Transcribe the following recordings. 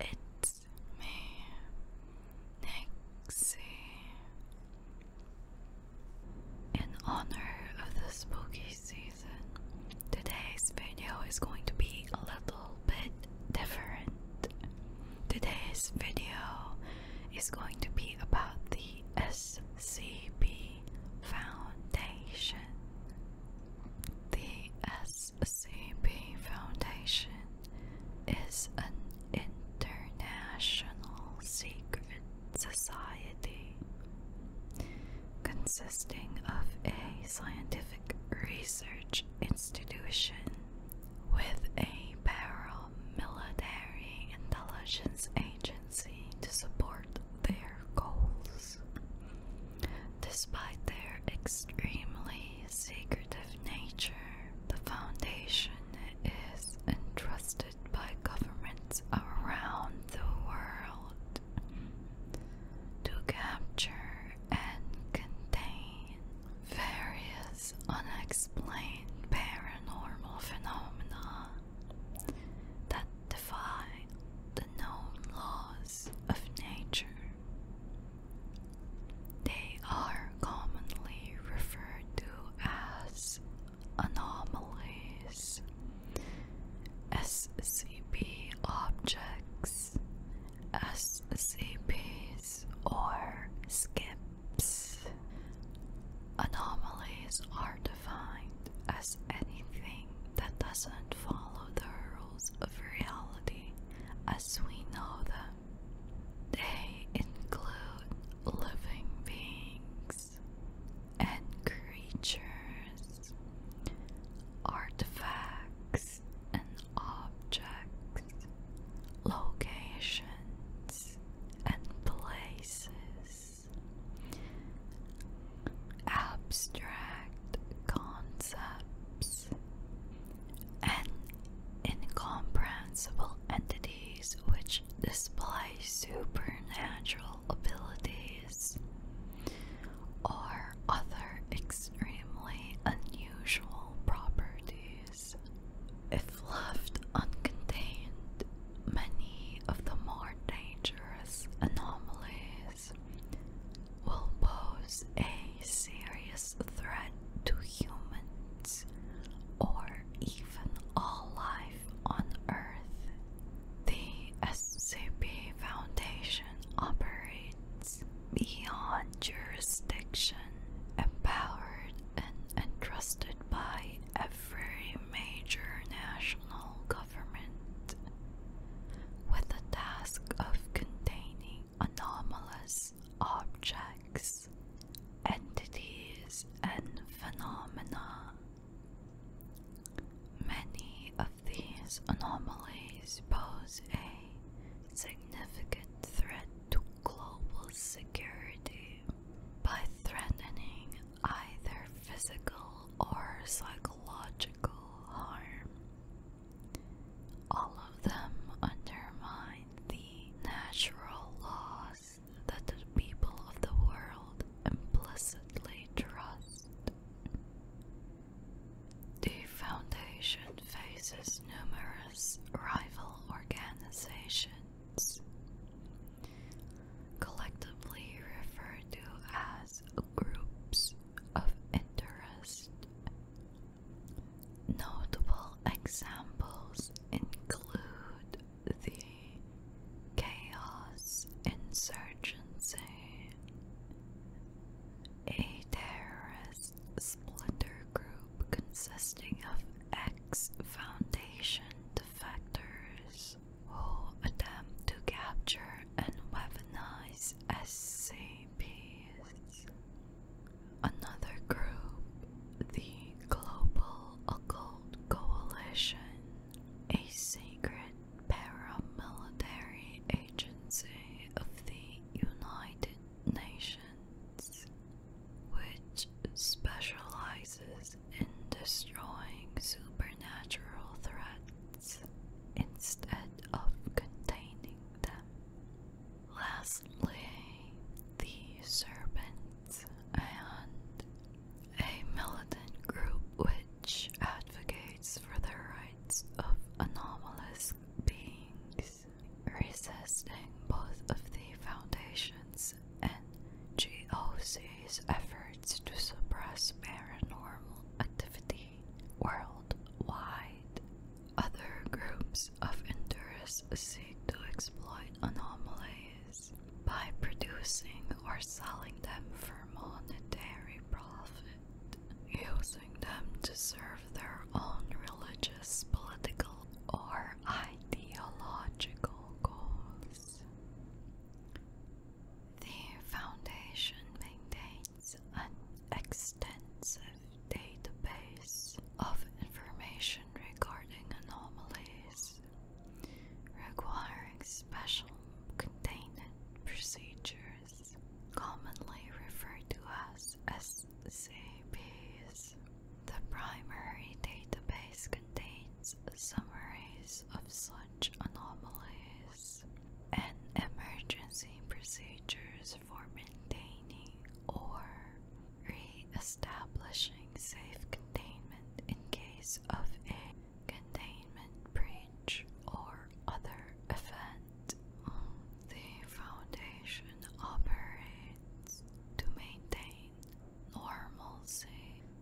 It's me, Nixie. In honor of the spooky Today's video is going to be a little bit different. Today's video is going to be about the SCP Foundation. The SCP Foundation is an international secret society consisting of a scientific research institution with a parallel military intelligence agency to support their goals. Despite their extremely secretive nature, the Foundation is entrusted by governments around the world to capture and contain various unexplained paranormal phenomena that defy the known laws of nature. They are commonly referred to as anomalies SCP objects, SCPs, or skips. Anomalies are defined as anything that doesn't follow the rules of reality as we know them. They include living beings and creatures, artifacts and objects, locations and places, abstract concepts, and incomprehensible entities which display supernatural abilities or other extremely unusual properties. If left uncontained, many of the more dangerous anomalies will pose a serious threat to humans or even all life on Earth. The SCP Foundation operates beyond jurisdiction, empowered and entrusted by every major national government with the task of containing anomalous objects, entities, and phenomena Many of these anomalies pose a significant threat to global security by threatening either physical or psychological harm. All of them undermine the natural laws that the people of the world implicitly trust. The Foundation faces numerous rival organizations, collectively referred to as groups of interest. Notable examples include the Chaos Insurgency, a terrorist splinter group consisting of ex Foundation defectors who attempt to capture and weaponize SCPs. Another group, the Global Occult. Coalition, a secret paramilitary agency of the United Nations, which specializes in destroying supernatural threats instead of containing them. Lastly, the Serpents and a militant group which advocates for the rights of anomalous beings, resisting both of the Foundation's and GOC's efforts to suppress paranormal activity worldwide. Other groups of interest see to exploit anomalies by producing or selling them for monetary profit, using them to serve their own religious, political, or ideological goals. The Foundation maintains an extensive database of information regarding anomalies requiring special containment procedures, commonly referred to as SCPs. The primary database contains summaries of such anomalies and emergency procedures for maintaining or re-establishing safe containment in case of a containment breach or other event. The Foundation operates to maintain normal safe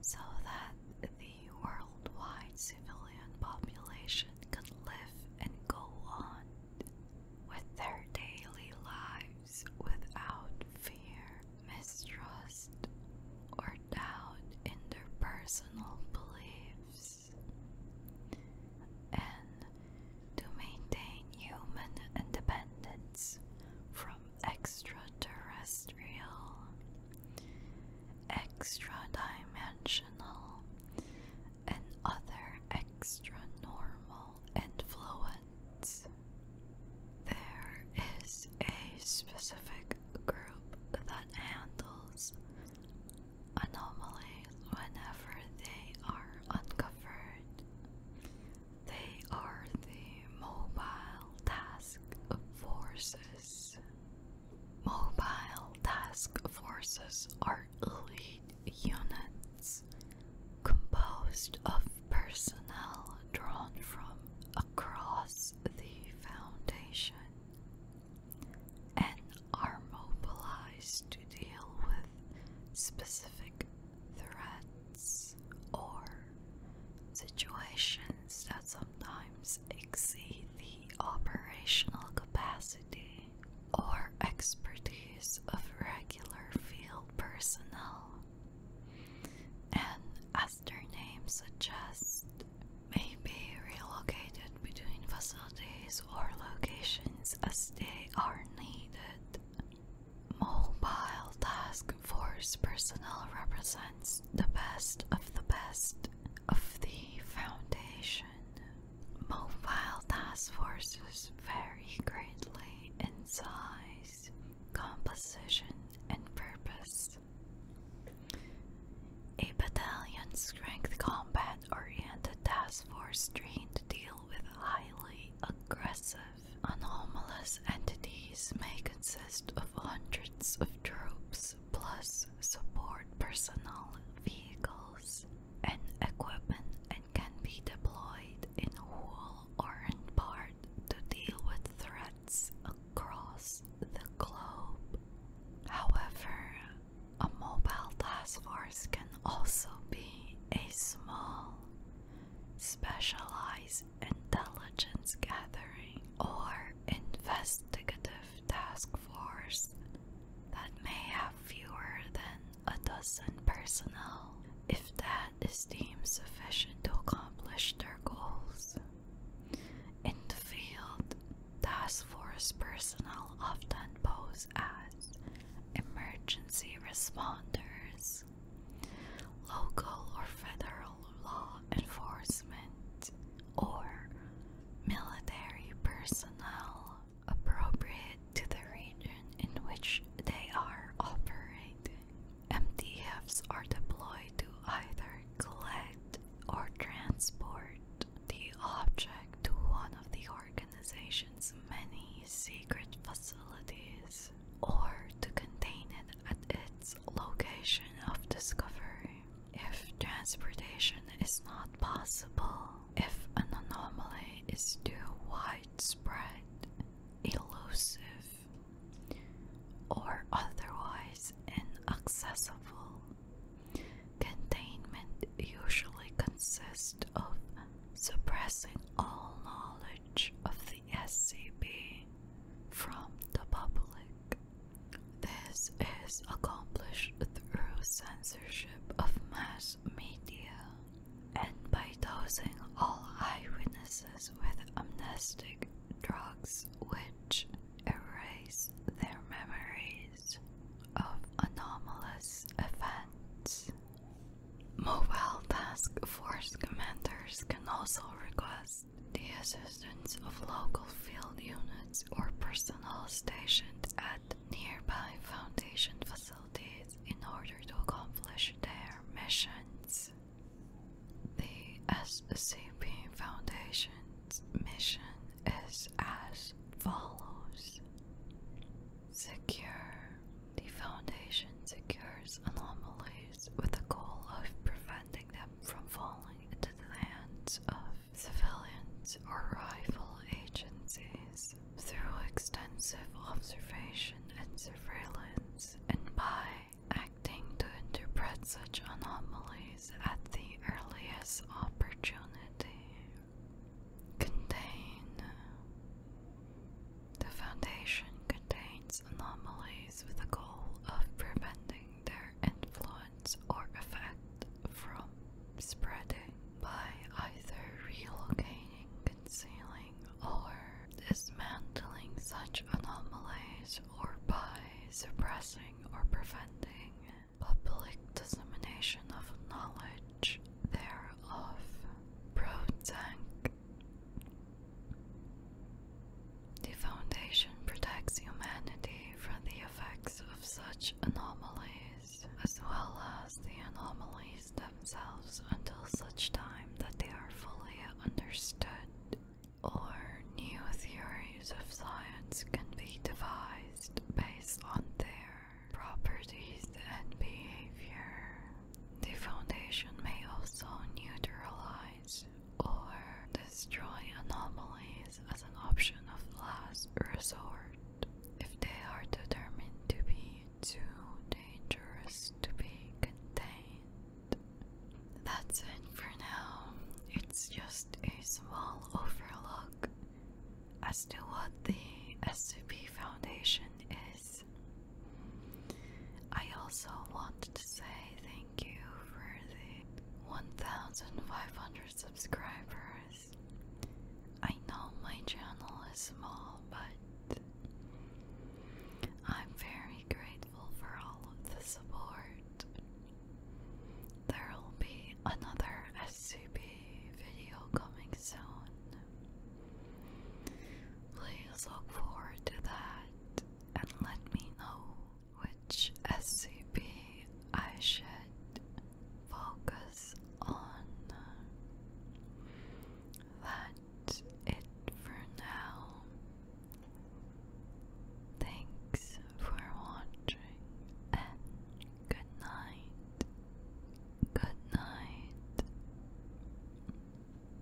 so that the worldwide civilian population can live and go on with their daily lives without fear, mistrust, or doubt in their personal beliefs, and to maintain human independence from extraterrestrial, extra dimensional, and other extra normal influence. There is a specific group that handles anomalies whenever they are uncovered. They are the Mobile Task Forces. Mobile Task Forces are elite units composed of personnel drawn from across the Foundation and are mobilized to deal with specific threats or situations that sometimes exceed the operational capacity or expertise of regular field personnel, and as their names suggest, may be relocated between facilities or locations as they are needed. Mobile task force personnel represents the best of the best of the foundation. Mobile task forces vary greatly in size, composition, and purpose. A battalion strength combat oriented task force trained to deal with highly aggressive, anomalous entities may consist of hundreds of troops plus support personnel, vehicles, and equipment and can be deployed in whole or in part to deal with threats across the globe. However, a mobile task force can also be a small, specialized intelligence gathering or investigative task force that may have fewer than a dozen personnel, if that is deemed sufficient to accomplish their goals. In the field, task force personnel often pose as emergency responders, local or federal law enforcement, or military personnel appropriate to the region in which they are operating. MTFs are deployed to either collect or transport the object to one of the organization's many secret facilities or to contain it at its location of discovery if transportation is not possible, if an anomaly is too widespread, elusive, or otherwise inaccessible, containment usually consists of suppressing all knowledge of the SCP from the public. This is accomplished through censorship of mass media and by dosing all eyewitnesses with amnestic drugs which erase their memories of anomalous events. Mobile task force commanders can also request the assistance of local field units or personnel stationed at nearby foundation facilities in order to accomplish their missions. The SCP Foundation's mission is as follows Secure. The Foundation secures anomalies with the goal of preventing them from falling into the hands of civilians or rival agencies. Through extensive observation and surveillance, and by acting to interpret such anomalies at the earliest opportunity, contain. The foundation contains anomalies with the goal of preventing their influence or effect from spreading by either relocating, concealing, or dismantling such anomalies, or by suppressing or preventing public dissemination of knowledge thereof. Prozac the Foundation protects humanity from the effects of such anomalies, as well as the anomalies themselves, until such time that they are fully understood. Or new theories of science can be devised based on their properties and behavior. The Foundation may also neutralize or destroy anomalies as an option of last resort if they are determined to be too dangerous to be contained. That's it for now. It's just a small overlook as to what the SCP Foundation is. I also want to say thank you for the 1,500 subscribers. I know my channel is small, but I'm very grateful for all of the support. There will be another SCP video coming soon. Please look forward to that and let me know which SCP I should focus on. That's it for now. Thanks for watching good night. Good night.